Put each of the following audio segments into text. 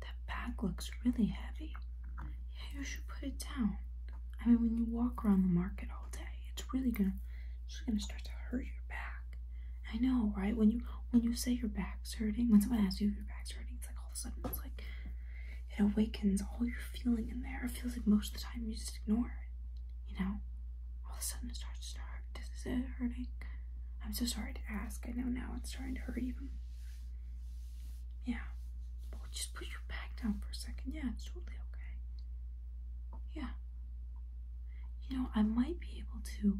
That bag looks really heavy. Yeah, you should put it down. I mean, when you walk around the market all day, it's really gonna, just gonna start to hurt your back. I know, right? When you when you say your back's hurting, when someone asks you if your back's hurting, it's like all of a sudden it's like it awakens all your feeling in there. It feels like most of the time you just ignore it. You know, all of a sudden it starts to hurt. Does it hurt? I'm so sorry to ask. I know now it's starting to hurt even. Yeah. But we'll just put your back down for a second. Yeah, it's totally okay. Yeah. You know, I might be able to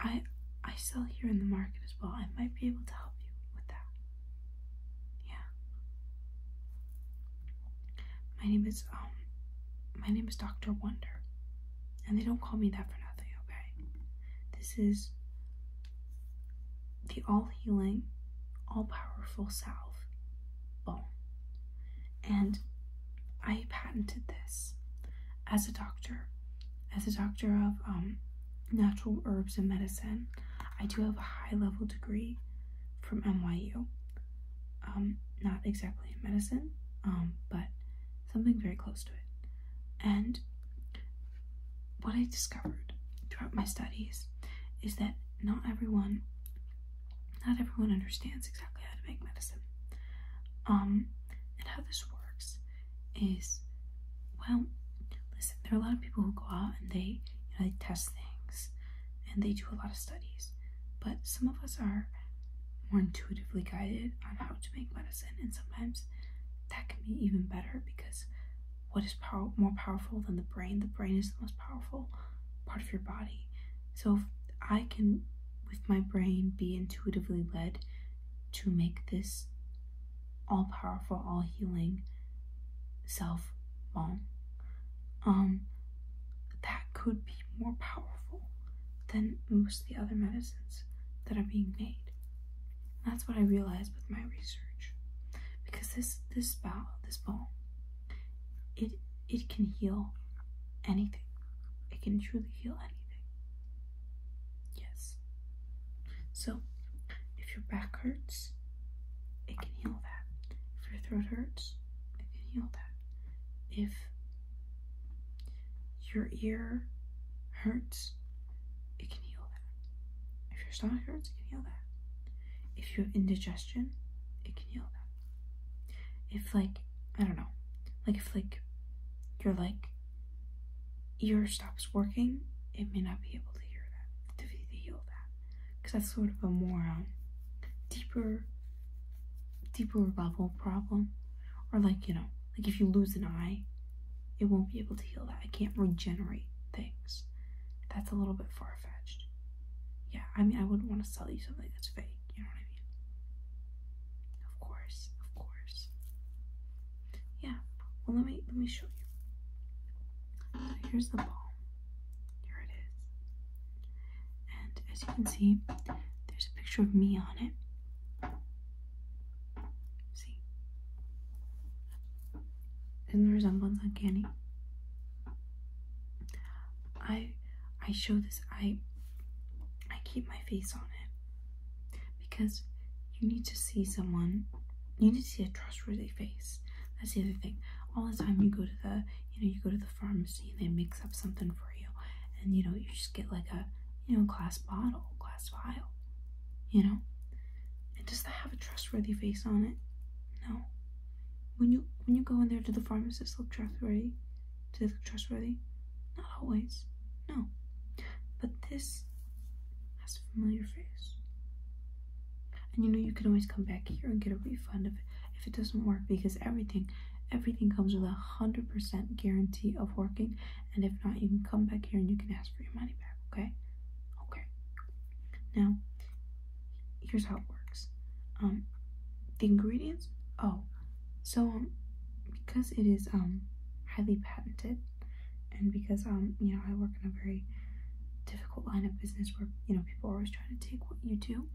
I I sell here in the market as well. I might be able to help you with that. Yeah. My name is um my name is Dr. Wonder. And they don't call me that for nothing, okay? This is the all healing, all powerful salve balm. And I patented this as a doctor, as a doctor of um, natural herbs and medicine. I do have a high level degree from NYU. Um, not exactly in medicine, um, but something very close to it. And what I discovered throughout my studies is that not everyone not everyone understands exactly how to make medicine. Um, and how this works is well, listen, there are a lot of people who go out and they you know they test things and they do a lot of studies. But some of us are more intuitively guided on how to make medicine, and sometimes that can be even better because what is power- more powerful than the brain? The brain is the most powerful part of your body. So I can, with my brain, be intuitively led to make this all powerful, all healing self balm. um, that could be more powerful than most of the other medicines that are being made. That's what I realized with my research, because this this bow this ball, it it can heal anything. It can truly heal anything. Yes. So, if your back hurts, it can heal that. If your throat hurts, it can heal that. If your ear hurts, it can heal that. If your stomach hurts, it can heal that. If you have indigestion, it can heal that. If like I don't know, like if like you're like ear stops working, it may not be able to hear that to, heal that, because that's sort of a more um, deeper, deeper level problem, or like you know, like if you lose an eye, it won't be able to heal that. I can't regenerate things. That's a little bit far fetched. Yeah, I mean, I wouldn't want to sell you something that's fake. You know what I mean? Of course, of course. Yeah. Well, let me let me show you. here's the ball. Here it is. And as you can see, there's a picture of me on it. See? Isn't the resemblance uncanny? I I show this I I keep my face on it because you need to see someone you need to see a trustworthy face. That's the other thing. All the time you go to the you know you go to the pharmacy and they mix up something for you and you know you just get like a you know glass bottle, glass vial you know? And does that have a trustworthy face on it? No. When you when you go in there, do the pharmacists look trustworthy? Do they look trustworthy? Not always. No. But this has a familiar face. And you know you can always come back here and get a refund if if it doesn't work because everything everything comes with a hundred percent guarantee of working and if not, you can come back here and you can ask for your money back, okay? Okay. Now, here's how it works. Um, the ingredients, oh, so um, because it is um highly patented, and because um you know I work in a very difficult line of business where you know people are always trying to take what you do,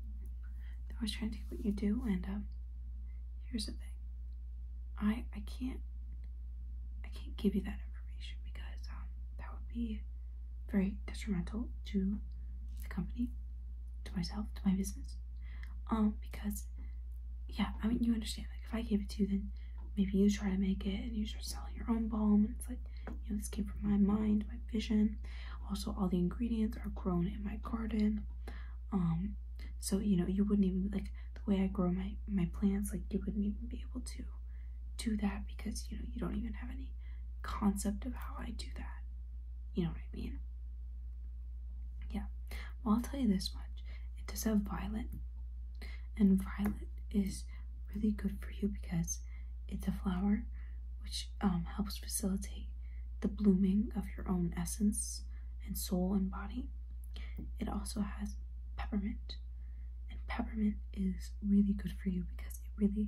they're always trying to take what you do, and um here's the thing. I I can't I can't give you that information because um, that would be very detrimental to the company, to myself, to my business. Um, because yeah, I mean you understand, like if I gave it to you then maybe you try to make it and you start selling your own balm and it's like, you know, this came from my mind, my vision. Also all the ingredients are grown in my garden. Um so you know you wouldn't even like the way I grow my my plants, like you wouldn't even be able to do that because you know you don't even have any concept of how I do that. You know what I mean? Yeah. Well, I'll tell you this much: it does have violet, and violet is really good for you because it's a flower which um, helps facilitate the blooming of your own essence and soul and body. It also has peppermint, and peppermint is really good for you because it really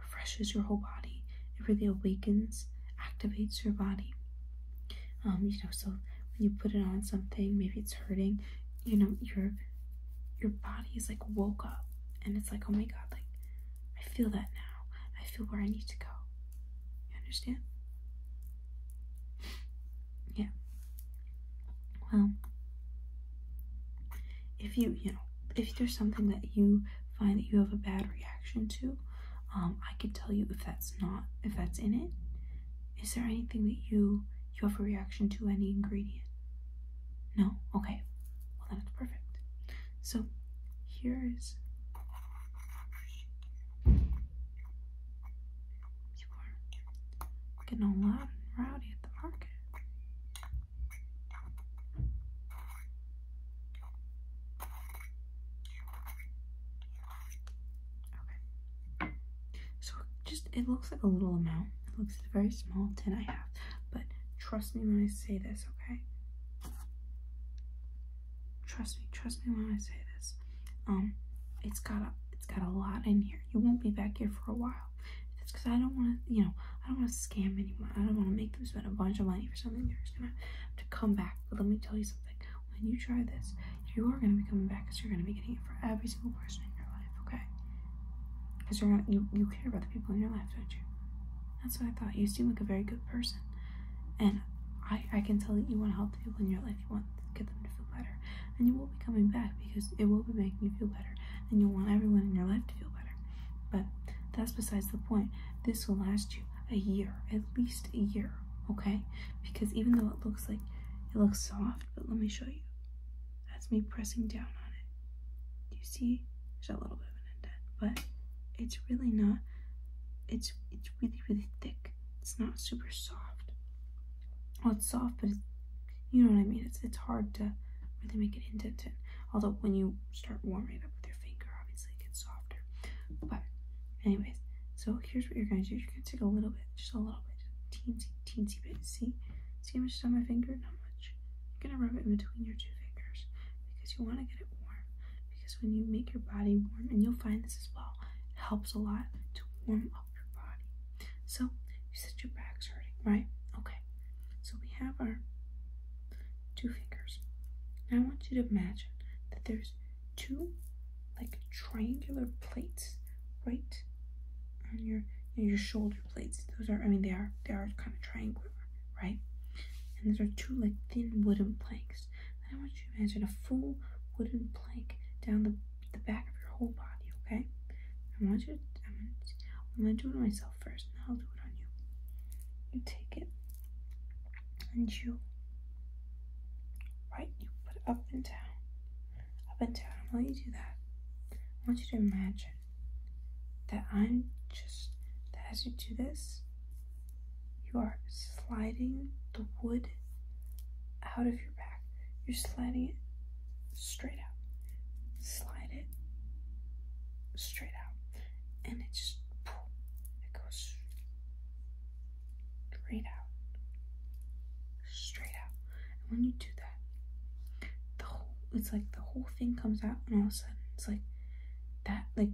refreshes your whole body. It really awakens, activates your body. Um, you know, so when you put it on something, maybe it's hurting, you know, your your body is like woke up and it's like, oh my god, like I feel that now. I feel where I need to go. You understand? Yeah. Well, if you, you know, if there's something that you find that you have a bad reaction to, um, I could tell you if that's not, if that's in it. Is there anything that you, you have a reaction to any ingredient? No? Okay. Well, that's perfect. So, here is getting all loud and rowdy at the market. Okay. So just it looks like a little amount. It looks a very small, tin I have. But trust me when I say this, okay? Trust me, trust me when I say this. Um, it's got a it's got a lot in here. You won't be back here for a while. It's because I don't want to, you know, I don't want to scam anyone. I don't want to make them spend a bunch of money for something they're just gonna have to come back. But let me tell you something. When you try this, you are gonna be coming back because you're gonna be getting it for every single person in your life, okay? Because you're not, you you care about the people in your life, don't you? That's what I thought. You seem like a very good person, and I I can tell that you want to help the people in your life want to get them to feel better. And you will be coming back because it will be making you feel better. And you'll want everyone in your life to feel better. But that's besides the point. This will last you a year, at least a year, okay? Because even though it looks like it looks soft, but let me show you. That's me pressing down on it. Do you see? There's a little bit of an indent, but it's really not. It's it's really really thick like it's not super soft. Well, it's soft, but it's, you know what I mean. It's it's hard to really make an indent in. Although when you start warming it up with your finger, obviously it gets softer. But anyways, so here's what you're gonna do. You're gonna take a little bit, just a little bit, teensy teensy bit. See, see how much is on my finger? Not much. You're gonna rub it in between your two fingers because you want to get it warm. Because when you make your body warm, and you'll find this as well, it helps a lot to warm up your body. So you said your back's hurting, right? Okay. So we have our two fingers. I want you to imagine that there's two like triangular plates right on your your shoulder plates. Those are I mean they are they are kind of triangular, right? And those are two like thin wooden planks. I want you to imagine a full wooden plank down the, the back of your whole body, okay? I want you to, I'm gonna, do it on myself first, and I'll do it on you. You take it, and you, right, you put up and down, up and down. While you do that, I want you to imagine that I'm just, as you do this, you are sliding the wood out of your back. You're sliding it straight out. Slide it straight out. And it just, it goes straight out. Straight out. And when you do that, the whole, it's like the whole thing comes out and all of a sudden it's like that like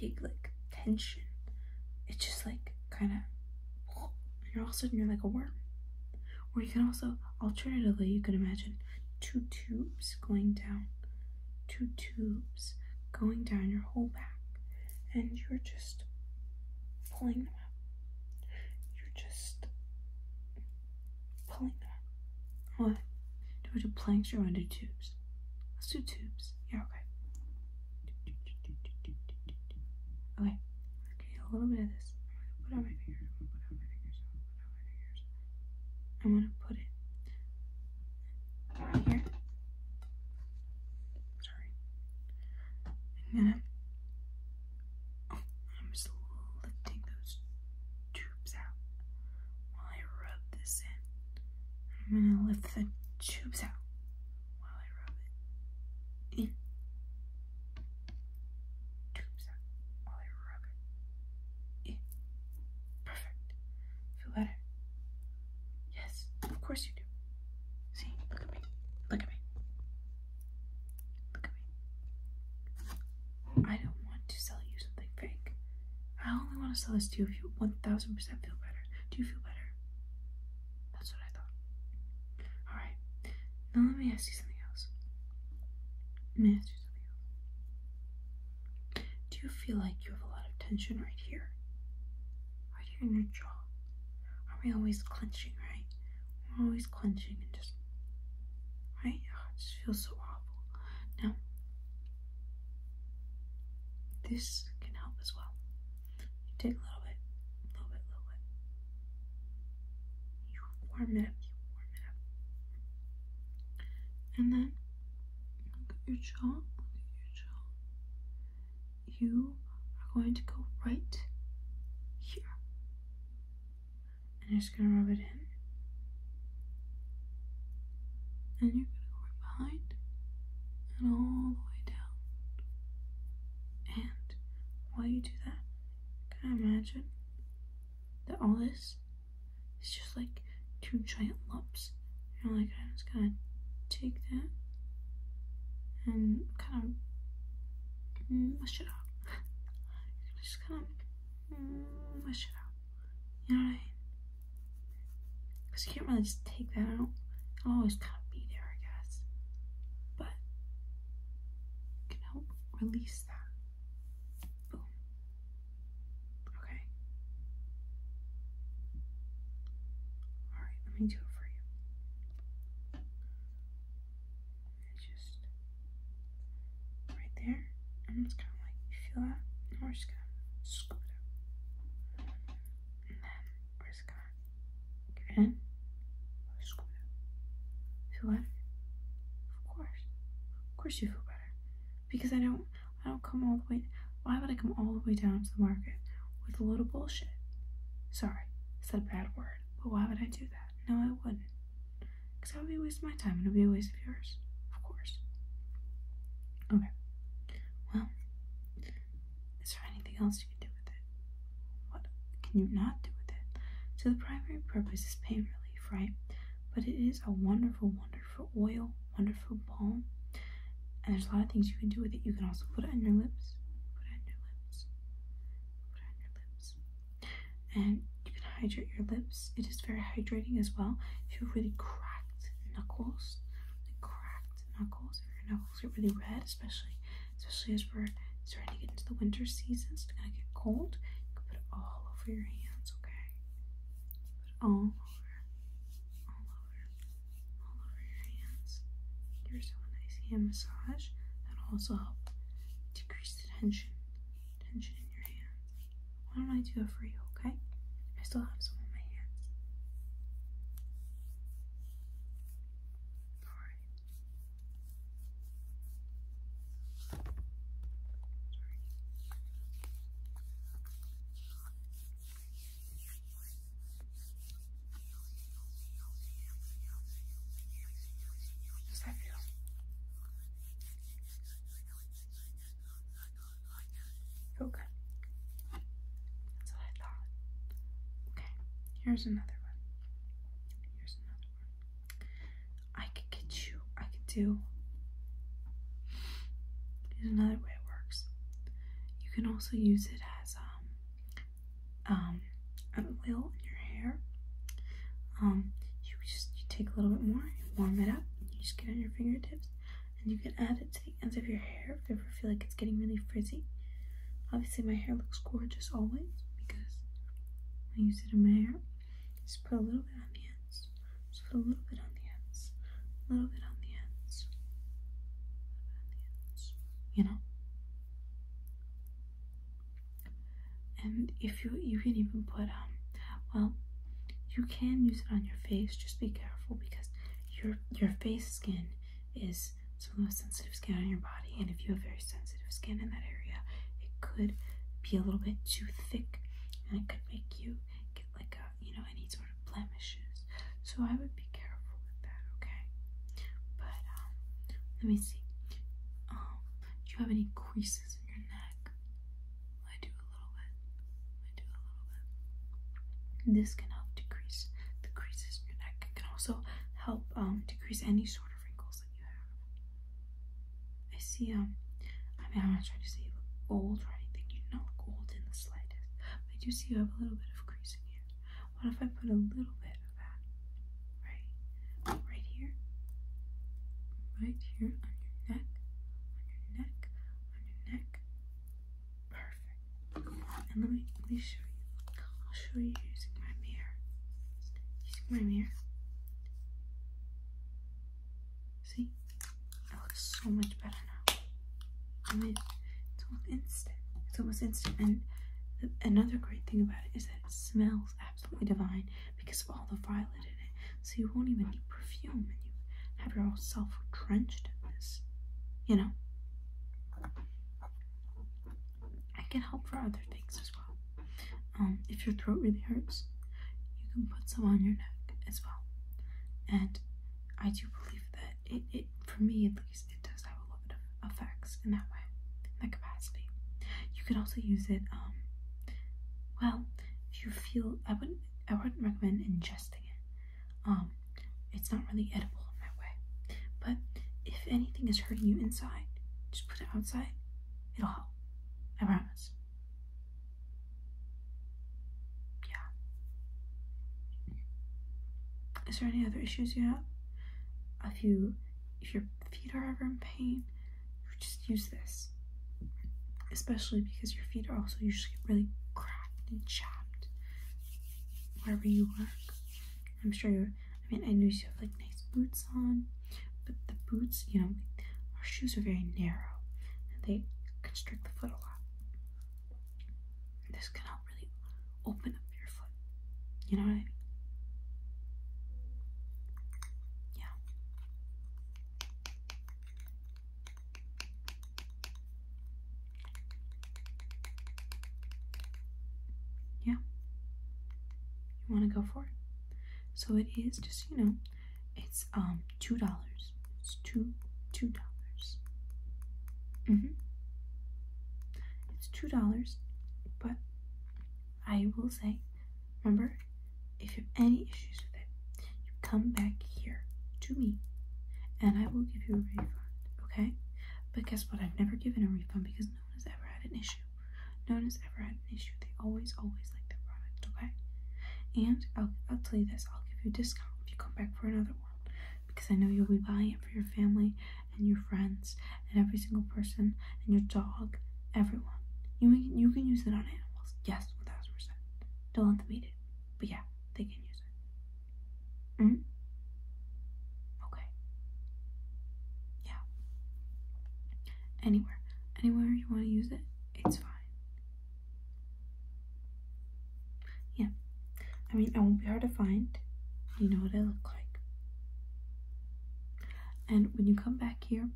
big like tension. It's just like kind of, you're all of sudden you're like a worm. Or you can also, alternatively, you can imagine two tubes going down, two tubes going down your whole back, and you're just pulling them out. You're just pulling them out. What? Do we do planks or under tubes? Let's do tubes. Yeah, okay. Okay. Okay, a little bit of this. I'm gonna put out my fingers. put out my fingers. put out my fingers. I'm gonna put it right here. Sorry. I'm gonna oh, I'm just lifting those tubes out while I rub this in. I'm gonna lift the tubes out while I rub it in tubes Perfect. Feel better? Yes, of course you do. See, look at me. Look at me. Look at me. I don't want to sell you something fake. I only want to sell this to you if you 1000% feel better. Do you feel better? That's what I thought. Alright. Now let me ask you something else. Let me ask you something else. Do you feel like you have a lot of tension right here? Right here in your jaw? Are we always clenching, right? We're always clenching and just right? Oh, it just feels so awful. Now this can help as well. You take a little bit, a little bit, little bit. You warm it up, you warm it up. And then look at your jaw, look at your jaw. You are going to go right here. And you're just gonna rub it in. And you're gonna go right behind and all the way down. And while you do that, can I imagine that all this is just like two giant lumps? And you know, like, I'm just gonna take that and kind of mush it up. just kind of mush it up. You know what I mean? Because you can't really just take that out. I'll always kind of be there, I guess. But can help release that. Boom. Okay. Alright, let me do it for you. Just right there. I'm just kind of like, feel that? we're just gonna scoop it up pescar. Get in? Of course. Of course you feel better. Because I don't I don't come all the way why would I come all the way down to the market with a load of bullshit? Sorry, I a bad word, but why would I do that? No, I wouldn't. Because that would be a my time it would be a waste of yours. Of course. Okay. Well, is there anything else you can do with it? What can you not do with it? So the primary purpose is pain relief, right? But it is a wonderful, wonderful oil, wonderful balm. And there's a lot of things you can do with it. You can also put it on your lips. Put on your lips. Put on your lips. And you can hydrate your lips. It is very hydrating as well. If you have really cracked knuckles, cracked knuckles, if your knuckles get really red, especially especially as we're starting to get into the winter season. It's gonna get cold. You can put it all over your hands, okay? Put all over, all over, all over your hands. Give yourself a nice hand massage. That'll also help decrease the tension, tension in your hands. Why don't I do it for you, okay? I still have some on my hands. Sorry. Sorry. Does that feel? Okay. That's what I thought. Okay, here's another one. Here's another one. I could get you, I could do. Here's another way it works. You can also use it as um, um, oil in your hair. Um, you just you take a little bit more, you warm it up, you just get on your fingertips, and you can add it to to the ends of your hair ever feel like it's getting really frizzy. Obviously, my hair looks gorgeous always because I use it in my hair. Just put a little bit on the ends. Just put A little bit on the ends. A little bit on the ends. You know? And if you you can even put um well you can use it on your face, just be careful because your your face skin is it's some of sensitive skin on your body. And if you have very sensitive skin in that area, it could be a little bit too thick and it could make you get like a, you know, any sort of blemishes. So I would be careful with that, okay? But um, let me see. Um, do you have any creases in your neck? I do a little bit. I do a little bit. This can help decrease the creases neck. It can also help um, decrease any sort of wrinkles that you have. I see, um, I mean, I'm not trying to say you look old or anything. You do not old in the slightest. I do see you have a little bit of creasing here. What if I put a little bit of that right, right here, right here on your neck, on your neck, on your neck, Perfect. And let me let me show you. I'll show you using my mirror. Using my mirror. See? It looks so much better now. I mean, it's almost instant. It's almost instant. And another great thing about it is that it smells absolutely divine because of all the violet in it. So you won't even need perfume and you have your whole self drenched in this. You know? I can help for other things as well. Um, if your throat really hurts, you can put some on your neck as well. And I do believe that it, it for me at least, it does have a lot of effects in that way, in that capacity. You could also use it, um, well, if you feel, I wouldn't, I wouldn't recommend ingesting it, um, it's not really edible in that way. But if anything is hurting you inside, just put it outside. It'll help. I promise. Yeah. Is there any other issues you have? If you if your feet are ever in pain, just use this. Especially because your feet are also usually really cracked and chapped wherever you work. I'm sure you're, I mean, I know you have like nice boots on, but the boots, you know, our shoes are very narrow and they constrict the foot a lot. This can help really open up your foot. You know what I mean? Yeah. Yeah. You want to go for it? So it is just, you know, it's um two dollars. It's two two dollars. Mm-hmm. It's two dollars, but I will say, remember, if you have any issues with it, you come back here to me and I will give you a refund, okay? But guess what? I've never given a refund because no one has ever had an issue. No one has ever had an issue. They always, always like their product, okay? And I'll, I'll tell you this, I'll give you a discount if you come back for another one. Because I know you'll be buying it for your family and your friends and every single person and your dog, everyone. You can, you can use it on animals, yes, 1000%. Don't let them eat it. But yeah, they can use it. Mm? Okay. Yeah. Anywhere. Anywhere you want to use it, it's fine. Yeah. I mean, it won't be hard to find. You know what I look like. And when you come back here,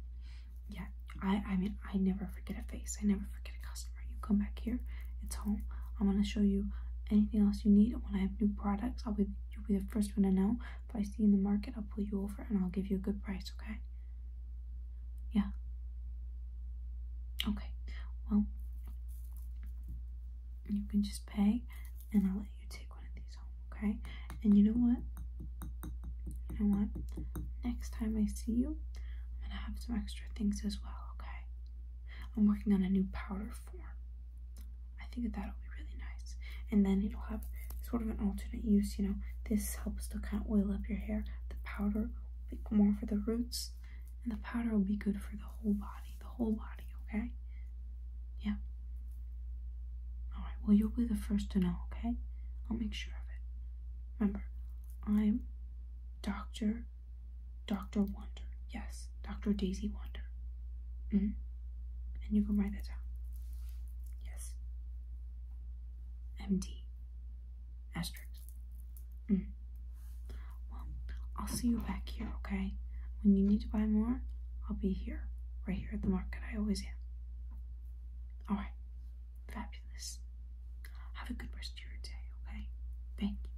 yeah, I I mean, I never forget a face. I never forget a customer. You come back here it's home. I'm gonna show you anything else you need. When I have new products, I'll be you'll be the first one to know. If I see in the market, I'll pull you over and I'll give you a good price, okay? Yeah. Okay. Well, you can just pay and I'll let you take one of these home, okay? And you know what? You know what? Next time I see you, I'm gonna have some extra things as well, okay? I'm working on a new powder form. I think that that'll be really nice. And then it'll have sort of an alternate use, you know. This helps to kind of oil up your hair. The powder will be more for the roots, and the powder will be good for the whole body. The whole body, okay? Yeah. Alright, well, you'll be the first to know, okay? I'll make sure of it. Remember, I'm Dr. Dr. Wonder. Yes, Dr. Daisy Wonder. -hmm. And you can write that down. Yes. MD. Asterisk. -hmm. Well, I'll see you back here, okay? When you need to buy more, I'll be here, right here at the market. I always am. Alright. Fabulous. Have a good rest of your day, okay? Thank you.